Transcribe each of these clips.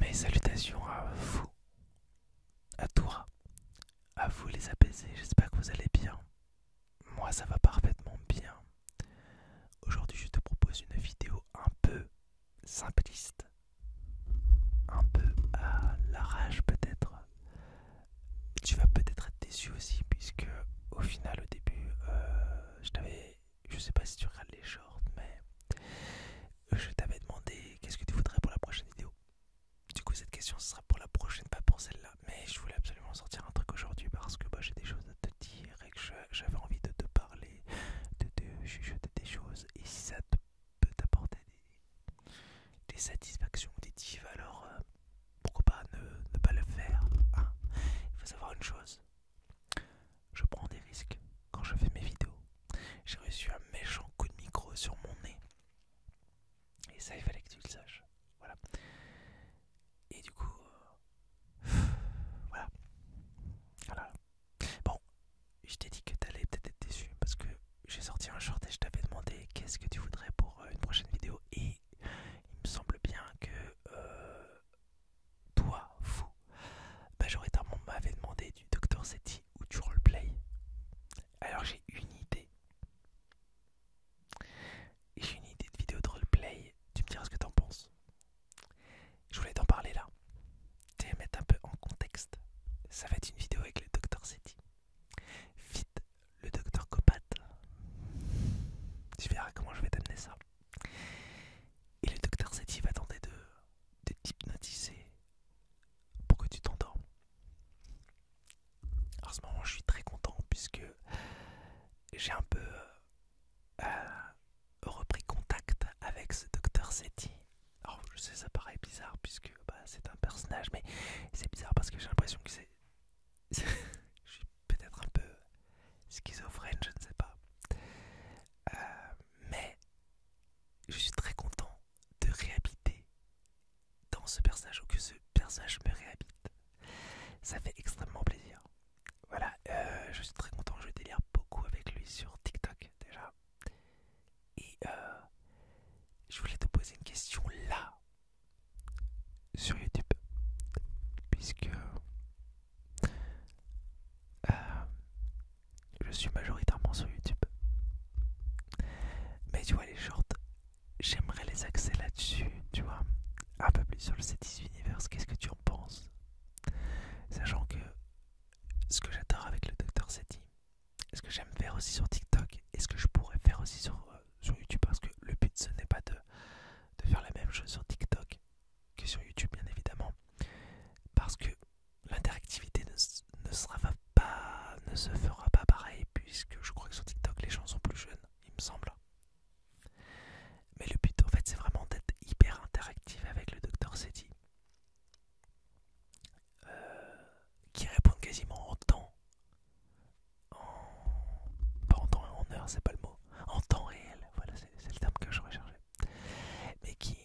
Mes salutations à vous, à toi, à vous les apaisés, j'espère que vous allez bien. Moi ça va parfaitement bien. Aujourd'hui je te propose une vidéo un peu simpliste, un peu à la rage peut-être. Tu vas peut-être être déçu aussi puisque au final au début euh, je t'avais je sais pas si tu regardes les shorts, mais euh, je t'avais demandé qu'est-ce que tu voudrais pour la prochaine vidéo. Du coup, cette question, ce sera pour la prochaine, pas pour celle-là. Mais je voulais absolument sortir un truc aujourd'hui parce que bah, j'ai des choses à te dire et que j'avais envie de te parler, de te chuchoter des choses. Et si ça te, peut t'apporter des, des satisfactions alors euh, pourquoi pas ne, pas le faire hein. Il faut savoir une chose je prends des risques quand je fais mes vidéos. J'ai reçu un méchant coup de micro sur mon nez. Et ça, il fallait que tu le saches. Voilà. Et du coup... Euh, voilà. Voilà. Ah bon, je t'ai dit que t'allais peut-être être déçu parce que j'ai sorti un short et je t'avais demandé qu'est-ce que tu voudrais pour euh, une prochaine vidéo. Et il me semble bien que... Euh, toi, fou, majoritairement m'avait demandé du Dr Seti ou du roleplay. Alors j'ai une idée. J'ai une idée de vidéo de roleplay, tu me diras ce que t'en penses. Je voulais t'en parler là. Tu mettre un peu en contexte. Ça va être une vidéo avec le Dr Seti. Vite, le Dr Copat. Tu verras comment je vais t'amener ça. Et le Dr Seti va tenter de de t'hypnotiser pour que tu t'entends En ce moment, je suis très content puisque j'ai un peu euh, repris contact avec ce docteur Seti. Alors, je sais, ça paraît bizarre puisque bah, c'est un personnage, mais c'est bizarre parce que j'ai l'impression que c'est. je suis peut-être un peu schizophrène, je ne sais pas. Euh, mais je suis très content de réhabiter dans ce personnage ou que ce personnage me réhabite. Ça fait extrêmement plaisir. Voilà, euh, je suis très content, je délire beaucoup avec lui sur TikTok déjà. Et euh, je voulais te poser une question là, sur YouTube, puisque euh, je suis majoritairement sur YouTube. Mais tu vois, les shorts, j'aimerais les axer là-dessus, tu vois. Un peu plus sur le c Universe, qu'est-ce que tu en penses Sachant que ce que j'adore avec le Dr Seti, ce que j'aime faire aussi sur TikTok et ce que je pourrais faire aussi sur, euh, sur YouTube, parce que le but ce n'est pas de, de faire la même chose sur TikTok que sur YouTube, bien évidemment, parce que l'interactivité ne, sera pas, ne se fera pas pareil puisque je crois que sur TikTok les gens sont plus jeunes, il me semble. Mais le but en fait c'est vraiment d'être hyper interactif avec le docteur Seti euh, qui répond quasiment en temps, en... pas en temps et en heure, c'est pas le mot, en temps réel, voilà c'est le terme que je recherchais, mais qui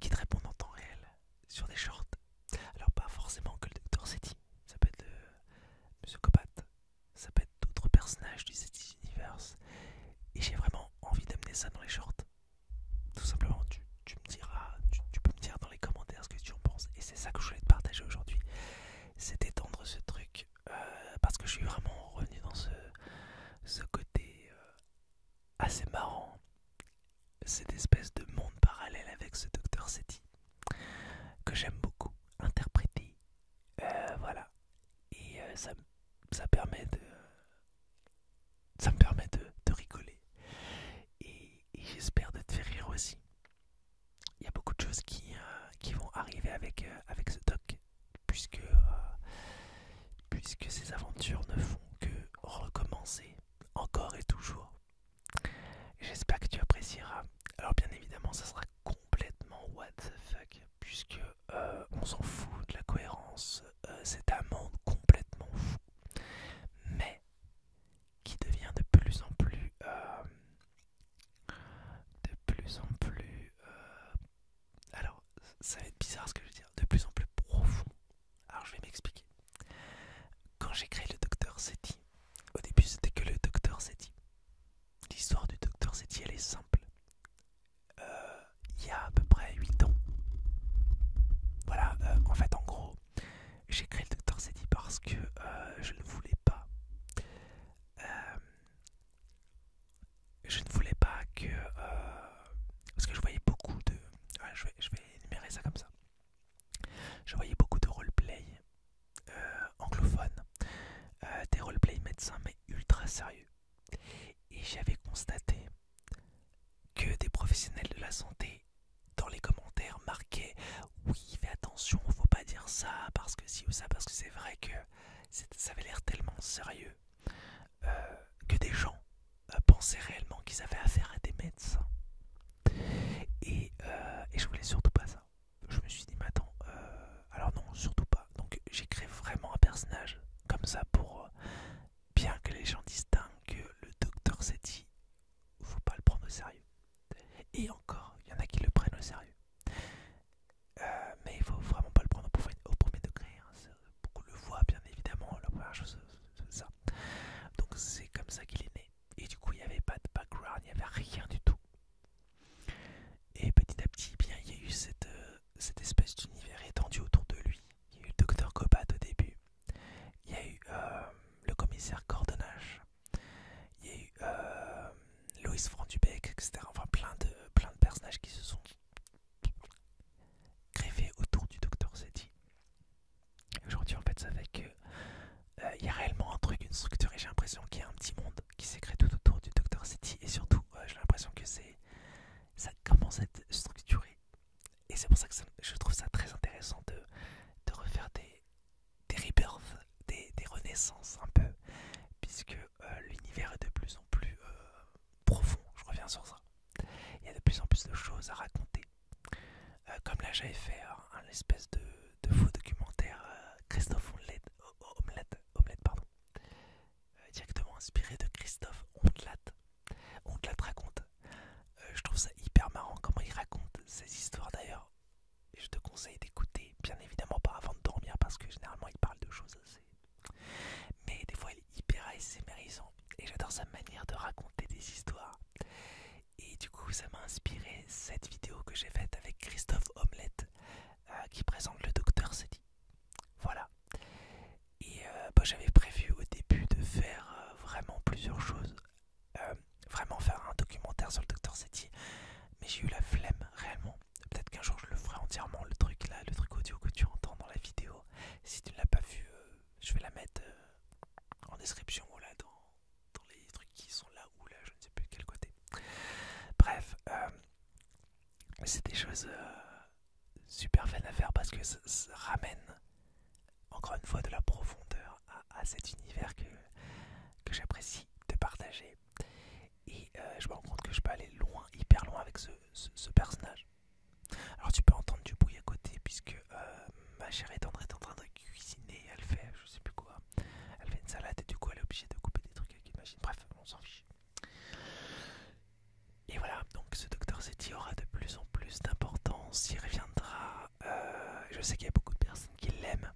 qui te répondent en temps réel sur des shorts. Alors pas forcément que le docteur SETI, ça peut être Copat, ça peut être d'autres personnages du SETI Universe. Et j'ai vraiment envie d'amener ça dans les shorts. Tout simplement, tu, me diras, tu, peux me dire dans les commentaires ce que tu en penses. Et c'est ça que je voulais te partager aujourd'hui. C'est d'étendre ce truc euh, parce que je suis vraiment revenu dans ce, côté euh, assez ah, marrant cette espèce de monde parallèle avec ce docteur Seti que j'aime beaucoup interpréter euh, voilà et euh, ça, ça permet de ça me permet de, rigoler et, j'espère de te faire rire aussi il y a beaucoup de choses qui, euh, qui vont arriver avec, avec ce doc euh, puisque, ces aventures ne font que recommencer encore et toujours. J'espère que tu apprécieras. Alors bien évidemment, ça sera complètement what the fuck, puisque euh, on s'en fout de la cohérence. Euh, C'est un monde complètement fou, mais qui devient de plus en plus, de plus en plus alors ça va être bizarre ce que je veux dire, de plus en plus profond. Alors je vais m'expliquer. Quand j'ai créé le docteur Seti, au début c'était que le Dr. Seti. L'histoire du docteur Seti elle est simple. Euh, il y a à peu près 8 ans. Voilà, euh, en fait en gros, j'ai créé le Dr. Seti parce que euh, je ne voulais pas je ne voulais pas que... Euh, parce que je voyais beaucoup de... je, vais, énumérer ça comme ça. Je voyais beaucoup de roleplay anglophones, euh, anglophone, euh, des roleplay médecins mais ultra sérieux. Et j'avais constaté que des professionnels de la santé dans les commentaires marquaient oui fais attention, faut pas dire ça parce que si ou ça parce que c'est vrai que ça avait l'air tellement sérieux. Euh, que des gens euh, pensaient réellement qu'ils avaient affaire à des médecins. Euh, et, je voulais surtout pas ça. Je me suis dit, mais attends, alors non, surtout pas. Donc j'ai créé vraiment un personnage comme ça pour bien que les gens distinguent que le docteur s'est dit, faut pas le prendre au sérieux. Et encore, il y en a qui le prennent au sérieux. mais il faut vraiment pas le prendre au premier, degré. Hein, beaucoup le voit bien évidemment, la première chose c'est ça. Donc c'est comme ça qu'il est né. Et du coup il n'y avait pas de background, il n'y avait rien du tout. Et petit à petit, eh bien, il y a eu euh, cette, espèce d'univers étendu autour de lui. Il y a eu le docteur Cobat au début, il y a eu euh, le commissaire Cordonnage, il y a eu euh, Loïs Frandubec, etc. Enfin plein de, plein de personnages qui se sont Créer autour du docteur City. Aujourd'hui, en fait, ça fait que euh, il y a réellement un truc, une structure, et j'ai l'impression qu'il y a un petit monde qui s'est créé tout autour du docteur City et surtout, euh, j'ai l'impression que c'est ça commence à être structuré. Et c'est pour ça que je trouve ça très intéressant de, refaire des, des rebirths, des, renaissances un peu, puisque euh, l'univers est de plus en plus profond. Je reviens sur ça. Il y a de plus en plus de choses à raconter. Euh, comme là, j'avais fait euh, un, espèce de, faux documentaire euh, Christophe Omelette, Omelette, oh, oh, pardon, directement inspiré de Christophe Ondelat. Ondelat raconte. je trouve ça hyper marrant comment il raconte ses histoires d'ailleurs. Et je te conseille d'écouter, bien évidemment, pas avant de dormir parce que généralement il parle de choses assez mais des fois, il est hyper ASMRisant et j'adore sa manière de raconter des histoires. Et du coup, ça m'a inspiré cette vidéo que j'ai faite avec Christophe Omelette euh, qui présente le docteur Seti. Voilà. Et euh, bah, j'avais prévu au début de faire euh, vraiment plusieurs choses. vraiment faire un documentaire sur le docteur Seti. Mais j'ai eu la flemme réellement. Peut-être qu'un jour je le ferai entièrement, le truc là, le truc audio que tu entends dans la vidéo. Si tu ne l'as pas vue, euh, je vais la mettre euh, en description ou là dans, les trucs qui sont là ou là, je ne sais plus de quel côté. Bref, euh, c'est des choses super fun à faire parce que ça, ramène encore une fois de la profondeur à, cet univers que, j'apprécie de partager. Et je me rends compte que je peux aller loin, hyper loin avec ce personnage. Alors tu peux entendre du bruit à côté puisque euh, ma chère est en train de cuisiner, elle fait je sais plus quoi, elle fait une salade et du coup elle est obligée de couper des trucs avec une machine, bref on s'en fiche. Et voilà, donc ce docteur Zeti aura de plus en plus d'importance, il reviendra, euh, je sais qu'il y a beaucoup de personnes qui l'aiment,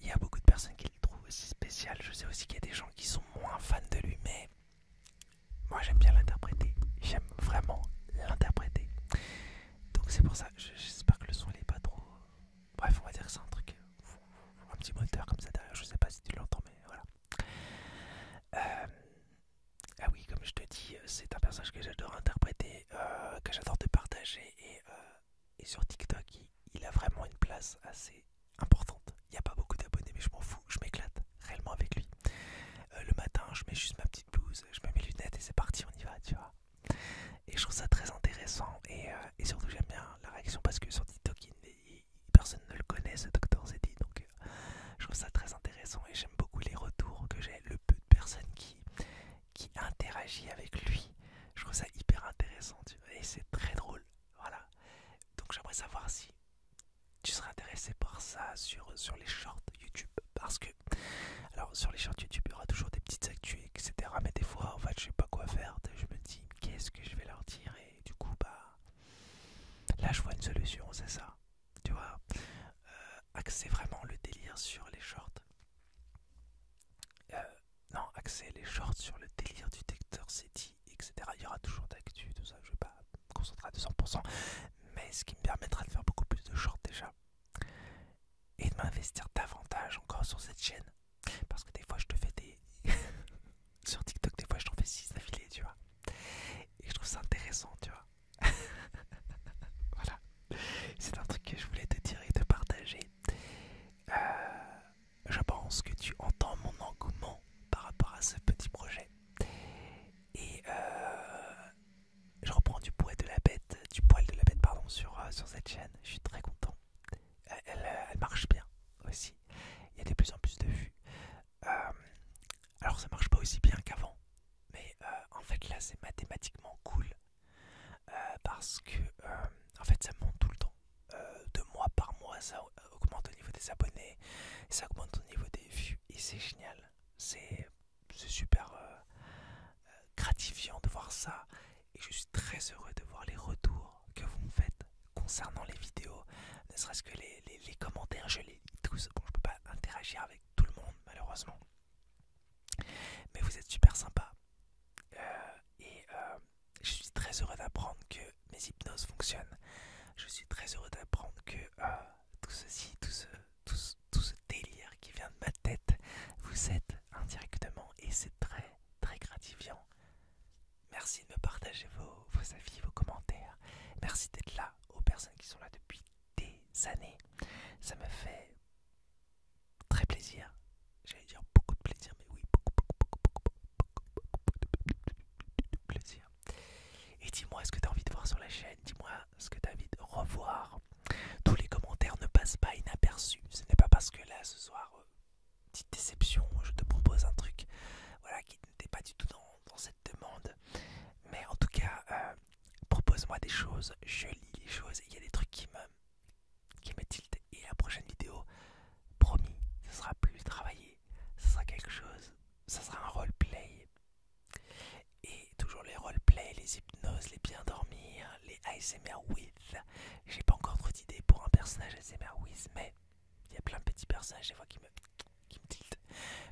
il y a beaucoup de personnes qui le trouvent aussi spécial, je sais aussi qu'il y a des gens qui sont moins fans de lui mais moi j'aime bien l'interpréter, j'aime vraiment l'interpréter. Donc c'est pour ça, j'espère que le son n'est est pas trop... Bref, on va dire que c'est un truc, un petit moteur comme ça derrière, je sais pas si tu l'entends mais voilà. Euh, ah oui, comme je te dis, euh, c'est un personnage que j'adore interpréter, euh, que j'adore te partager et, sur TikTok il a vraiment une place assez importante. Il n'y a pas beaucoup d'abonnés, mais je m'en fous, je m'éclate réellement avec lui. Euh, le matin, je mets juste ma petite blouse, je mets mes lunettes et c'est parti, on y va, tu vois. Et je trouve ça très intéressant et, euh, surtout j'aime bien la réaction parce que sur TikTok, personne ne le connaît, ce docteur Zeddy. Donc euh, je trouve ça très intéressant et j'aime beaucoup les retours que j'ai, le peu de personnes qui, qui interagit avec lui. Je trouve ça hyper intéressant, tu et c'est très drôle. Voilà. Donc j'aimerais savoir si tu seras intéressé par ça sur, les shorts YouTube parce que alors sur les shorts YouTube il y aura toujours des petites actus etc mais des fois en fait je sais pas quoi faire je me dis qu'est-ce que je vais leur dire et du coup bah là je vois une solution c'est ça tu vois euh, axer vraiment le délire sur les shorts euh, non axer les shorts sur le délire du c'est city etc. Il y aura toujours d'actu, tout ça, je ne vais pas me concentrer à 200%, mais ce qui me permettra de faire beaucoup plus de shorts déjà et de m'investir davantage encore sur cette chaîne parce que des fois je te fais des. sur TikTok, des fois je t'en fais 6 d'affilée, tu vois, et je trouve ça intéressant, tu vois. voilà, c'est un truc que je voulais te dire et te partager. Euh, je pense que tu entends mon engouement par rapport à ce petit projet. Et euh, je reprends du poil de la bête, du poil de la bête pardon, sur, euh, sur cette chaîne. Je suis très content. Euh, elle, marche bien aussi. Il y a de plus en plus de vues. alors ça marche pas aussi bien qu'avant, mais en fait là c'est mathématiquement cool parce que en fait ça monte tout le temps. de mois par mois ça augmente au niveau des abonnés, ça augmente au niveau des vues, et c'est génial. C'est super euh, gratifiant de voir ça, et je suis très heureux de voir les retours que vous me faites concernant les vidéos, ne serait-ce que les, commentaires, je les tous. Bon, je peux pas interagir avec tout le monde, malheureusement. Mais vous êtes super sympa. Euh, et euh, je suis très heureux d'apprendre que mes hypnoses fonctionnent. Je suis très heureux d'apprendre que euh, tout ceci, tout ce, tout, délire qui vient de ma tête, vous êtes indirectement et c'est très très gratifiant. Merci de me partager vos, vos avis, vos commentaires. Merci d'être là aux personnes qui sont là depuis des années. Ça me fait très plaisir. J'allais dire beaucoup de plaisir, mais oui, beaucoup, beaucoup, beaucoup, beaucoup, plaisir. Et dis-moi ce que tu as envie de voir sur la chaîne, dis-moi ce que tu envie de revoir. Tous les commentaires ne passent pas inaperçus. Ce n'est pas parce que là, ce soir, euh, petite déception, je te propose un truc voilà, qui n'était pas du tout dans, cette demande. Mais en tout cas, euh, propose-moi des choses, je lis les choses, il y a des trucs qui me, qui me tiltent. Et la prochaine vidéo, promis, ce sera plus travaillé, ce sera quelque chose ça sera un roleplay. Et toujours les roleplays, les hypnoses, les bien dormir, les ASMR with. J'ai pas encore trop d'idées pour un personnage ASMR with, mais il y a plein de petits personnages des qui me, qui me tiltent.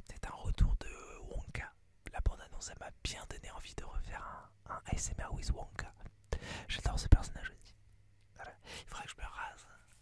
Peut-être un retour de Wonka. La bande-annonce, elle m'a bien donné envie de refaire un, ASMR with Wonka. J'adore ce personnage aussi. Il faudrait que je me rase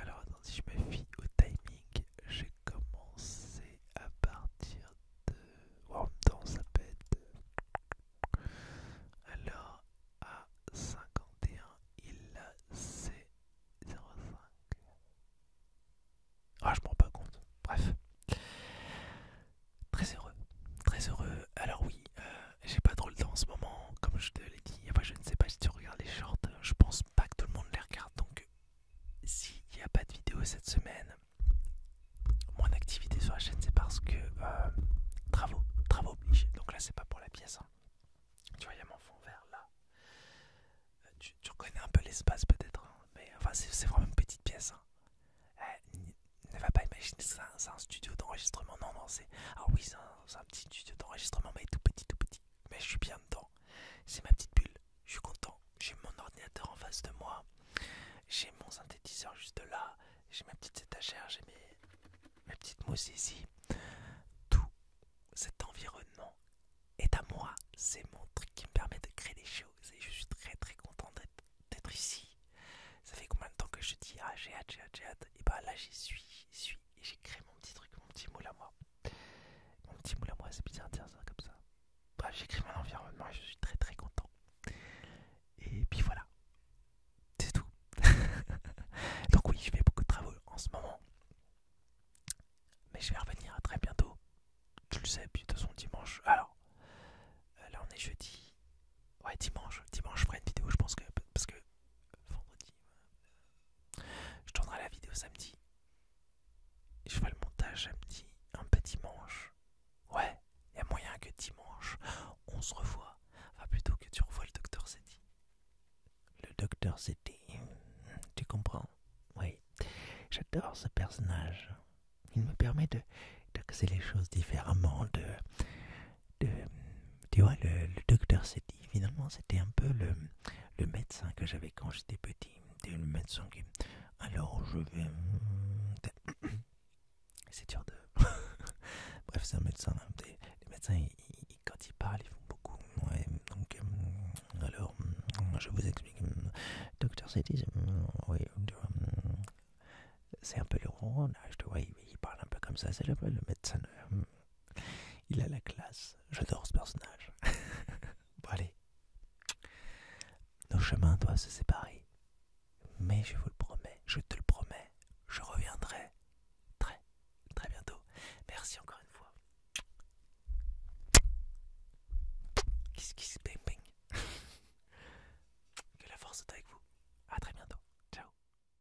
Alors attends, si je me fie au timing, j'ai commencé à partir de... en même temps, ça pète. Euh, alors, à 51, il a C05. Ah, je me rends pas compte. Bref. Très heureux. Très heureux. Alors oui. Euh, j'ai pas trop le temps en ce moment, comme je te l'ai dit. je ne sais pas si tu regardes les shorts, hein. je pense pas que tout le monde les regarde. Donc, s'il n'y a pas de vidéo cette semaine, mon activité sur la chaîne, c'est parce que euh, travaux, travaux obligés. Donc là, c'est pas pour la pièce. Hein. Tu vois, il y a mon fond vert là. Euh, tu, reconnais un peu l'espace peut-être, hein. mais enfin, c'est vraiment une petite pièce. Euh, ne va pas imaginer que c'est un, studio d'enregistrement. Non, non, c'est. Ah oui, c'est un petit studio d'enregistrement, mais tout petit, tout petit. Mais je suis bien dedans. C'est ma petite bulle. Je suis content. J'ai mon ordinateur en face de moi. J'ai mon synthétiseur juste là. J'ai ma petite étagère. J'ai mes, petites mousses ici. Tout cet environnement est à moi. C'est mon truc qui me permet de créer des choses. Et je suis très très content d'être ici. Ça fait combien de temps que je dis ah j'ai hâte, j'ai hâte, Et bah là j'y suis, j'y suis et j'ai créé mon petit truc, mon petit moule à moi. Mon petit moule à moi, c'est bizarre ça comme ça. Bref, j'ai créé mon environnement et je suis très très content. Et puis voilà, c'est tout. Donc, oui, je fais beaucoup de travaux en ce moment, mais je vais revenir à très bientôt. Tu le sais, puis de son dimanche. Alors, euh, là on est jeudi. Ouais, dimanche, dimanche je ferai une vidéo, je pense que parce que vendredi, euh, Je tournerai la vidéo samedi. Je ferai le montage samedi, un peu dimanche. Ouais, il y a moyen que dimanche, on se revoit. Enfin, plutôt que tu revois le docteur Zeddy. Le docteur tu comprends Oui, j'adore ce personnage. Il me permet de, de les choses différemment, de, le, tu vois, le, docteur s'est finalement, c'était un peu le, le médecin que j'avais quand j'étais petit. C'était le médecin qui. Alors, je vais. C'est dur de. Bref, c'est un médecin. Hein. Les, médecins, quand ils parlent, ils font beaucoup. donc, euh, alors, je vous explique. Docteur Cetti euh, oui, c'est un peu le ronron, je te vois, il, parle un peu comme ça. C'est le, le médecin. Euh, il a la classe. J'adore ce personnage. bon, allez. Nos chemins doivent se séparer. Mais je vous le promets, je te le promets, je reviendrai très, très bientôt. Merci encore une fois. Kiss, kiss, ping ping. que la force soit avec vous. À très bientôt. ciao